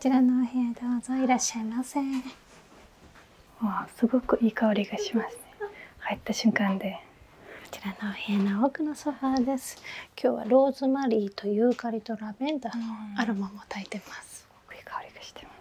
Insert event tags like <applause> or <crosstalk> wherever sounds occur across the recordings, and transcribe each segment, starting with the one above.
ちらのお部屋どうぞいらっしゃいませわあすごくいい香りがしますね入った瞬間でこちらのお部屋の奥のソファーです今日はローズマリーとユーカリとラベンダーのアロマも焚いてますすごくいい香りがしてます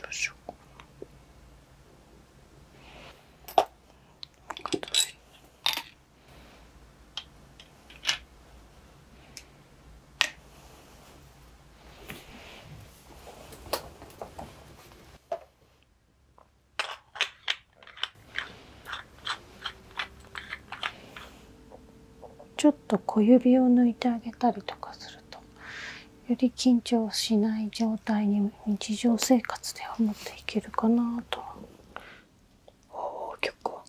どうしようかな。ちょっと小指を抜いてあげたりとかするとより緊張しない状態に日常生活では持っていけるかなとおお結構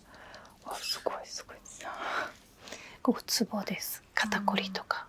あすごいすごいでつぼです肩こりとか。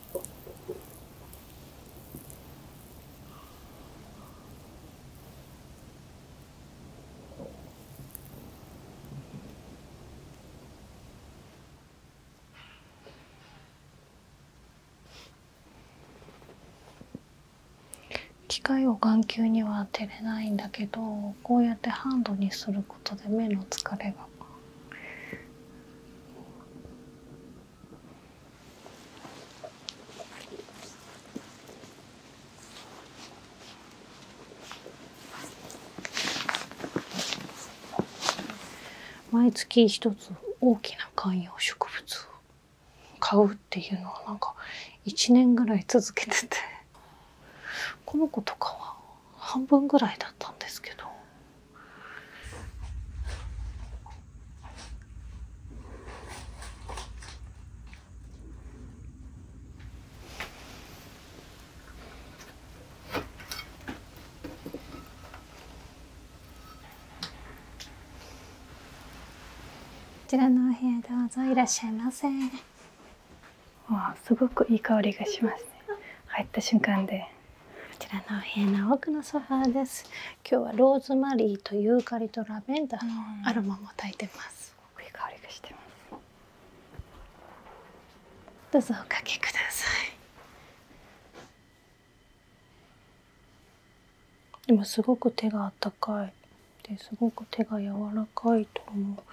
機械を眼球には当てれないんだけどこうやってハンドにすることで目の疲れが毎月一つ大きな観葉植物を買うっていうのは何か1年ぐらい続けててこの子とかは半分ぐらいだったんですけどこちらのお部屋どうぞいらっしゃいませわあすごくいい香りがします入った瞬間でこちらのお部のソファーです。今日はローズマリーとユーカリとラベンダーのアロマもいてます。すごくいい香りがしてます。どうぞおかけください。今すごく手が温かい。ですごく手が柔らかいと思う。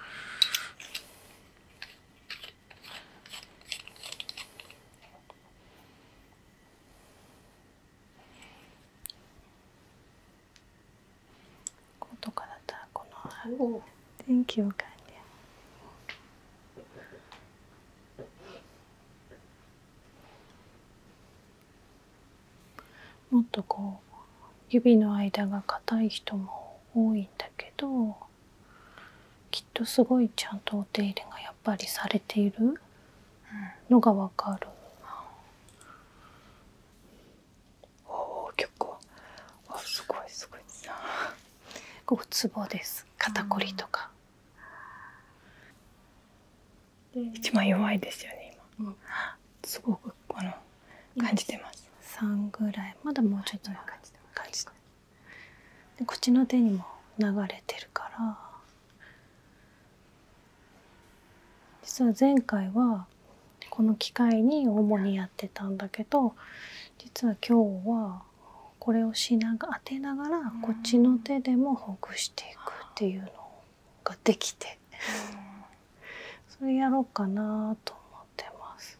こうとかだったらこの電気を変えもっとこう指の間が硬い人も多いんだけどとすごいちゃんとお手入れがやっぱりされているのが分かる。おお結構あすごいすごいここツボです肩こりとか。一番弱いですよねすごくこの感じてます。3ぐらいまだもうちょっと感じてます。でこっちの手にも流れてるから実は前回はこの機械に主にやってたんだけど実は今日はこれを当てながらこっちの手でもほぐしていくっていうのができてそれやろうかなと思ってます。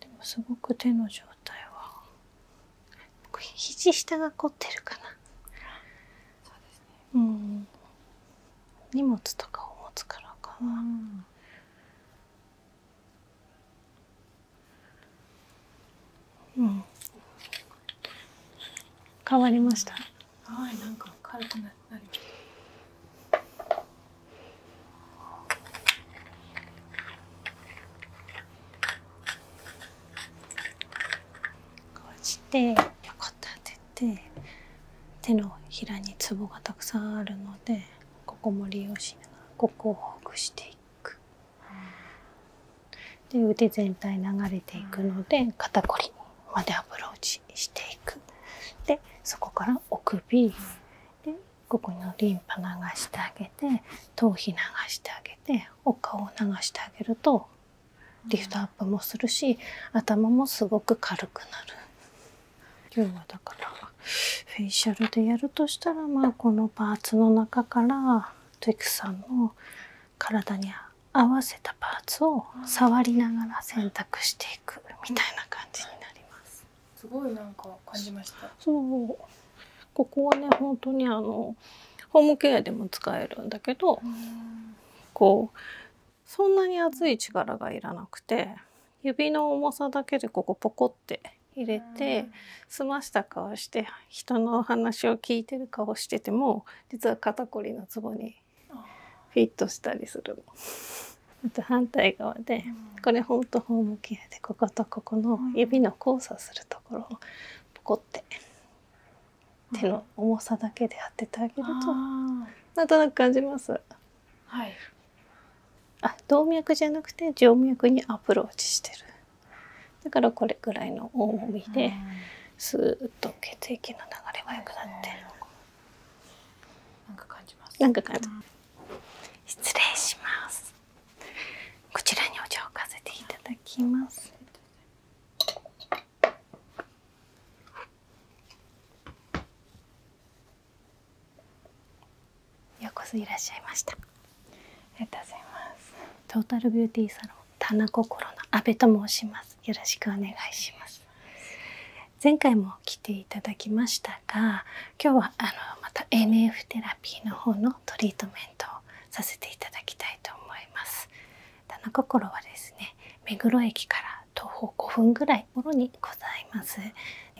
でもすごく手の状態は肘下が凝ってるかなそうですねうん荷物とかを持つからかな、うん変わりましたはいなんか軽くななりましたこうして横立てて手のひらにツボがたくさんあるのでここも利用しながらここをほぐしていくで腕全体流れていくので肩こりまでアプローチしていくでそこからお首でここにリンパ流してあげて頭皮流してあげてお顔を流してあげるとリフトアップもするし頭もすごく軽くなる今日はだからフェイシャルでやるとしたらまあこのパーツの中からトイクさんの体に合わせたパーツを触りながら選択していくみたいな感じになります。すごいなんか感じました。そう。ここはね本当にあのホームケアでも使えるんだけど、こうそんなに熱い力がいらなくて指の重さだけでここポコって入れて、澄ました顔して人の話を聞いてる顔してても実は肩こりのツボにフィットしたりする <laughs> あと反対側で、これほんとホームケアでこことここの指の交差するるところをポって手の重さだけで当ててあげるとなんとなく感じます。はい、あ動脈じゃなくて静脈にアプローチしてるだからこれぐらいの重みでスーと血液の流れが良くなってなんか感じます。なんか感じ失礼しますこちらにお茶をかせていただきますようこそいらっしゃいましたありがとうございますトータルビューティーサロン田中心の阿部と申しますよろしくお願いします前回も来ていただきましたが今日はあのまた NF テラピーの方のトリートメントをさせていただきたいと思います棚心はですね目黒駅から徒歩5分ぐらいのにございます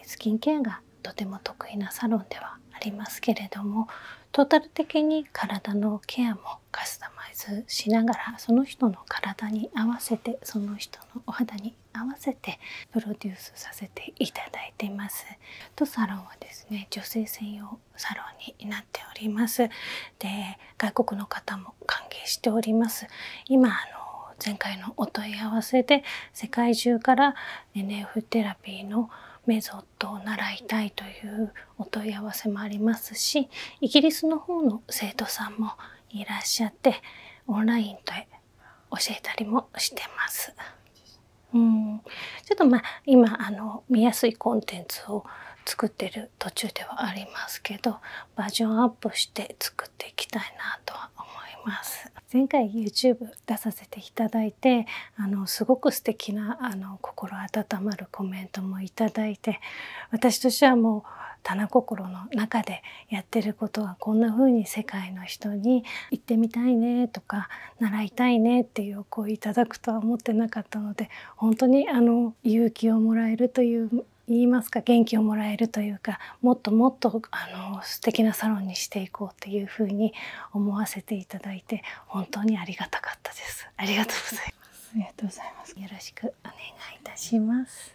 スキンケアがとても得意なサロンではありますけれどもトータル的に体のケアもカスタマイズしながらその人の体に合わせてその人のお肌に合わせてプロデュースさせていただいていますとサロンはですね女性専用サロンになっておりますで外国の方も歓迎しております今あの前回のお問い合わせで世界中から nf テラピーのメゾットを習いたいというお問い合わせもありますしイギリスの方の生徒さんもいらっしゃってオンラインで教えたりもしてます。ちょっとまあ今あの見やすいコンテンツを作ってる途中ではありますけどバージョンアップして作っていきたいなと思います前回 YouTube 出させていただいてあのすごく素敵なあな心温まるコメントもいただいて私としてはもう棚心の中でやってることはこんなふうに世界の人に行ってみたいねとか習いたいねっていう声いただくとは思ってなかったので本当にあの勇気をもらえるという言いますか元気をもらえるというかもっともっとあの素敵なサロンにしていこうというふうに思わせていただいて本当にありがたかったですありがとうございますありがとうございますよろしくお願いいたします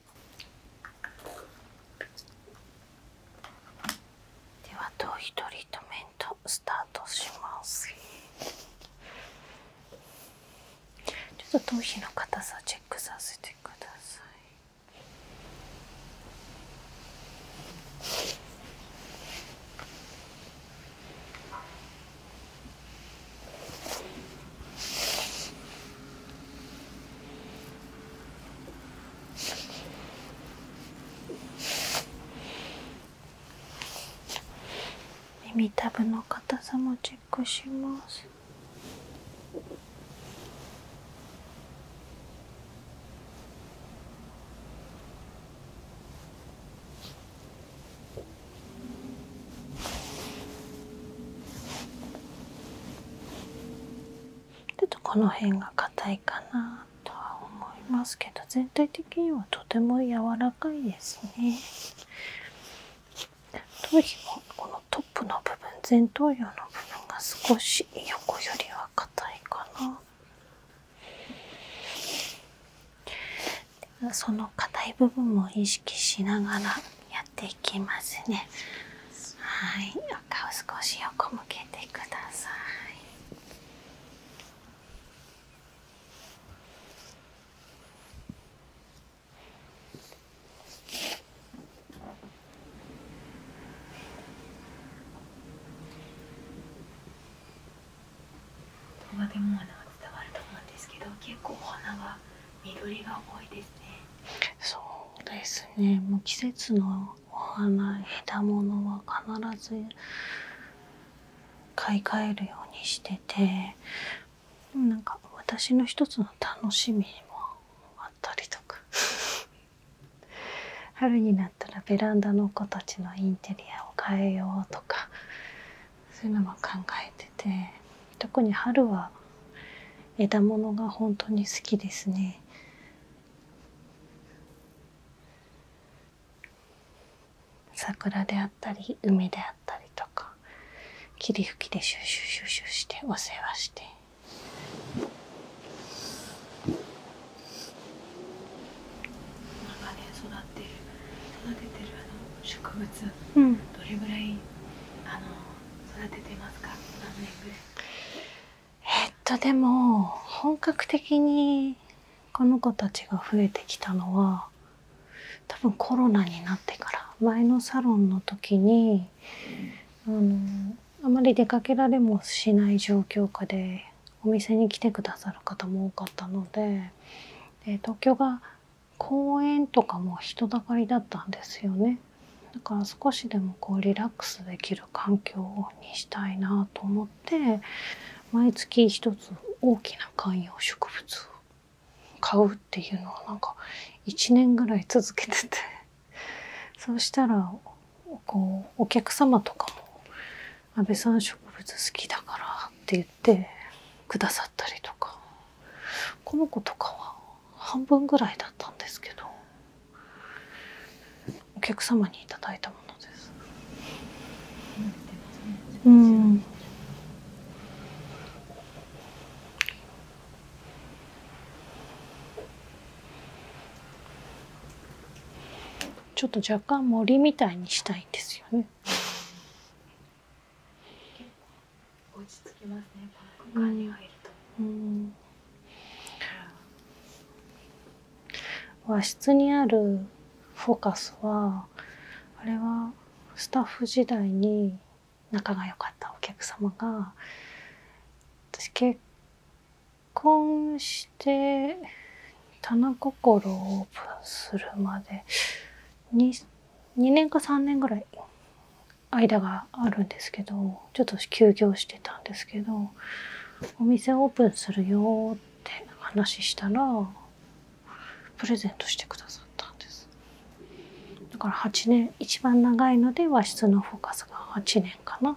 では頭皮トリートメントスタートしますちょっと頭皮の硬さチェックさせてください耳たぶの硬さもチェックしますちょっとこの辺が硬いかなとは思いますけど全体的にはとても柔らかいですね頭このトップの部分前頭葉の部分が少し横よりは硬いかなその硬い部分も意識しながらやって。っていきますねはいお顔少し横向けてください伝わると思うんですけど結構お花は緑が多いですねそうですねもう季節のお花枝物は必ず買い替えるようにしててなんか私の一つの楽しみもあったりとか <laughs> 春になったらベランダの子たちのインテリアを変えようとかそういうのも考えてて特に春は枝物が本当に好きですね。桜であったり梅であったりとか霧吹きでシュシュシュシュしてお世話して長年育て育ててるあの植物、うん、どれぐらいあの育ててますか何年ぐらいえっとでも本格的にこの子たちが増えてきたのは多分コロナになってから前のサロンの時にあまり出かけられもしない状況下でお店に来て下さる方も多かったので東京が公園とかも人だかりだったんですよね。だから少しでもこうリラックスできる環境にしたいなと思って毎月1つ大きな観葉植物を買うっていうのをなんか1年ぐらい続けてて <laughs> そうしたらこうお客様とかも「阿部さん植物好きだから」って言ってくださったりとかこの子とかは半分ぐらいだったんですけどお客様にいただいたものです。うんちょっと若干森みたいにしたいんですよね。落ち着きますねこの空間にはいると、うんん、和室にあるフォーカスはあれはスタッフ時代に仲が良かったお客様が私結婚して棚心をオープンするまで 2, 2年か3年ぐらい間があるんですけどちょっと休業してたんですけどお店オープンするよって話したらプレゼントしてくださったんですだから8年一番長いので和室のフォーカスが8年かな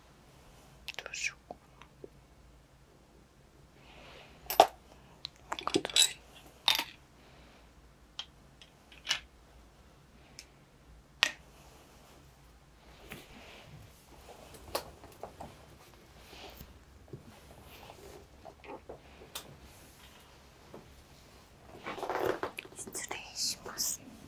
どうしようかな失礼します。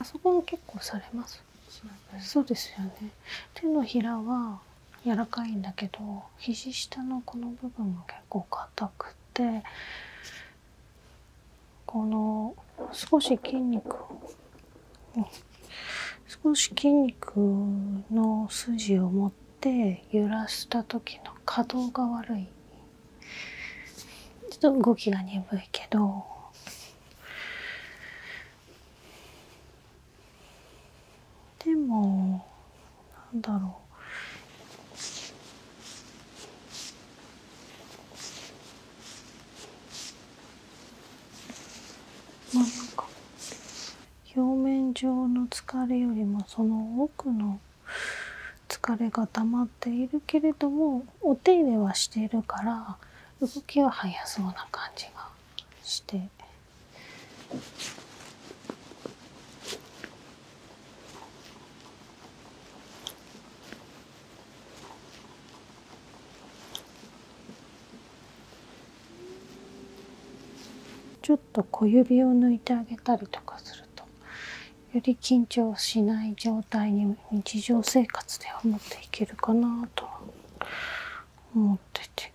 あそこも結構されますそうですよね手のひらは柔らかいんだけど肘下のこの部分が結構硬くてこの少し筋肉を。少し筋肉の筋を持って揺らした時の可動が悪いちょっと動きが鈍いけどでもなんだろうまあなんか表面上の疲れよりもその奥の疲れがたまっているけれどもお手入れはしてるから動きは速そうな感じがして。ちょっと小指を抜いてあげたりとかするとより緊張しない状態に日常生活では持っていけるかなと思ってて。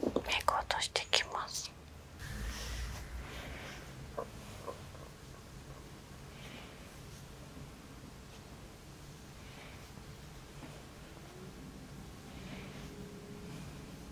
メイク落としてきます。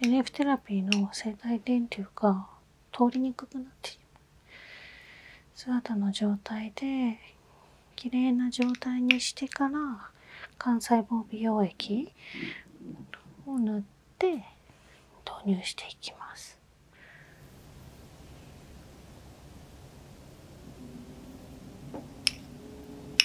LF テラピーの生体電流が通りにくくなってしまう姿の状態で綺麗な状態にしてから幹細胞美容液を塗って投入していきます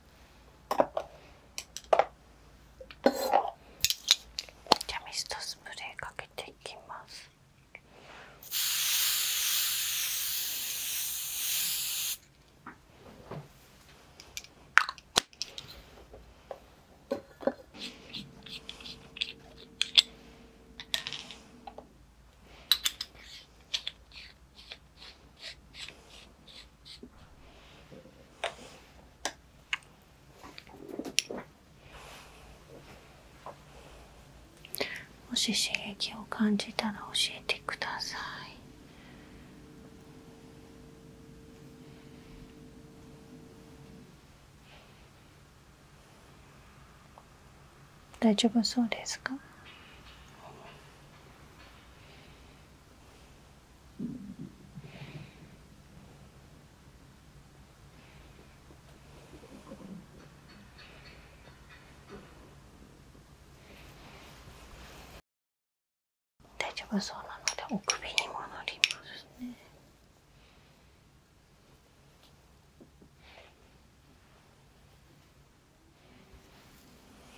じゃあミストスプレーかけていきます。もし刺激を感じたら教えてください。大丈夫そうですか大丈夫そうなのでお首にも戻りますね。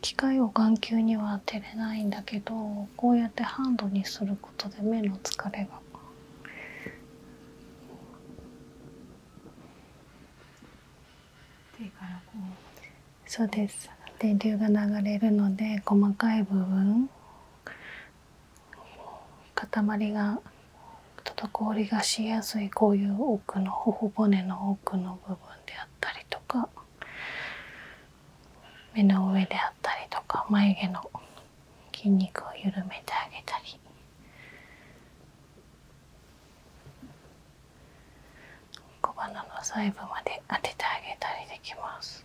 機械を眼球には当てれないんだけどこうやってハンドにすることで目の疲れが手からこうそうです電流が流れるので細かい部分塊が滞りがしやすいこういう奥の頬骨の奥の部分であったりとか目の上であったりとか眉毛の筋肉を緩めてあげたり小鼻の細部まで当ててあげたりできます。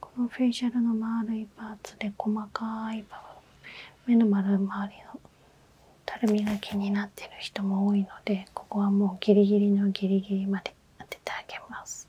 このフェイシャルの丸いパーツで細かい部分目の丸い周りのたるみが気になってる人も多いのでここはもうギリギリのギリギリまで当ててあげます。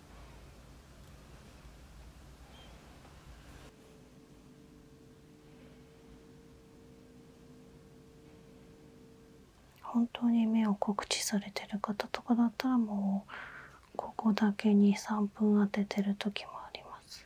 本当に目を告知されてる方とかだったらもうここだけに3分当ててる時もあります。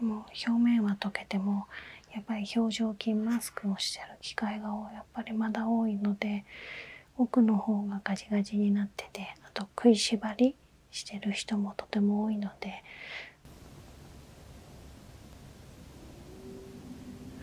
もう表面は溶けてもやっぱり表情筋マスクをしてる機会がやっぱりまだ多いので奥の方がガジガジになっててあと食いしばりしてる人もとても多いので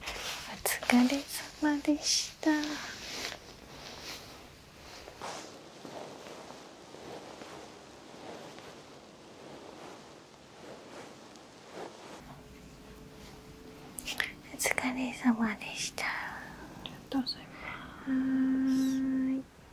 お疲れ様でしたお疲れ様でしたありがとうございます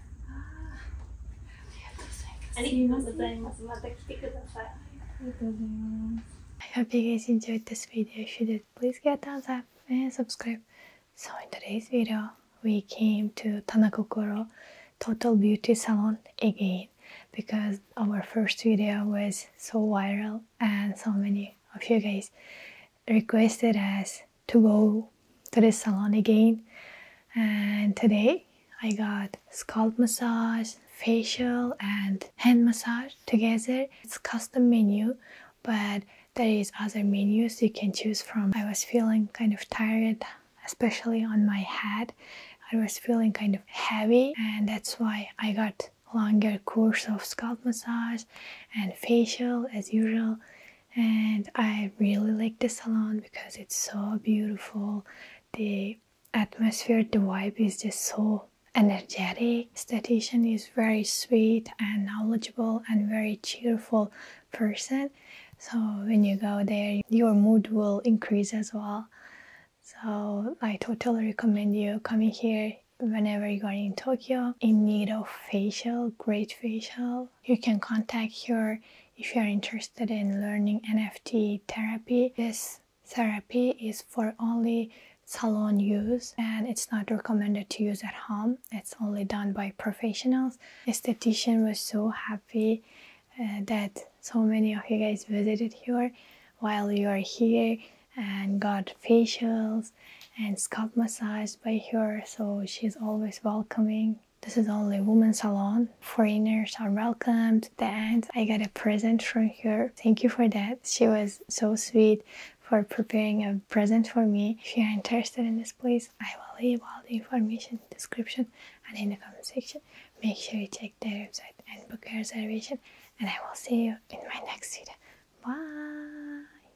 Thank ありがとうございます。また来てください。ありがとうございます。I hope you guys enjoyed this video. If you did, please give a thumbs up and subscribe. So in today's video, we came to Tanakokoro Total Beauty Salon again because our first video was so viral and so many of you guys requested us to go to the salon again and today I got scalp massage, facial and hand massage together. It's custom menu but there is other menus you can choose from. I was feeling kind of tired especially on my head. I was feeling kind of heavy and that's why I got longer course of scalp massage and facial as usual and I really like the salon because it's so beautiful. The atmosphere, the vibe is just so energetic. Statistician is very sweet and knowledgeable and very cheerful person. So when you go there, your mood will increase as well. So I totally recommend you coming here whenever you are in Tokyo in need of facial, great facial you can contact her if you are interested in learning NFT therapy. This therapy is for only salon use and it's not recommended to use at home. It's only done by professionals. Esthetician was so happy uh, that so many of you guys visited here while you are here and got facials and scalp massaged by her, so she's always welcoming. This is only women's salon. Foreigners are welcomed. And I got a present from her. Thank you for that. She was so sweet for preparing a present for me. If you are interested in this place, I will leave all the information description and in the comment section. Make sure you check their website and book your reservation. And I will see you in my next video. Bye!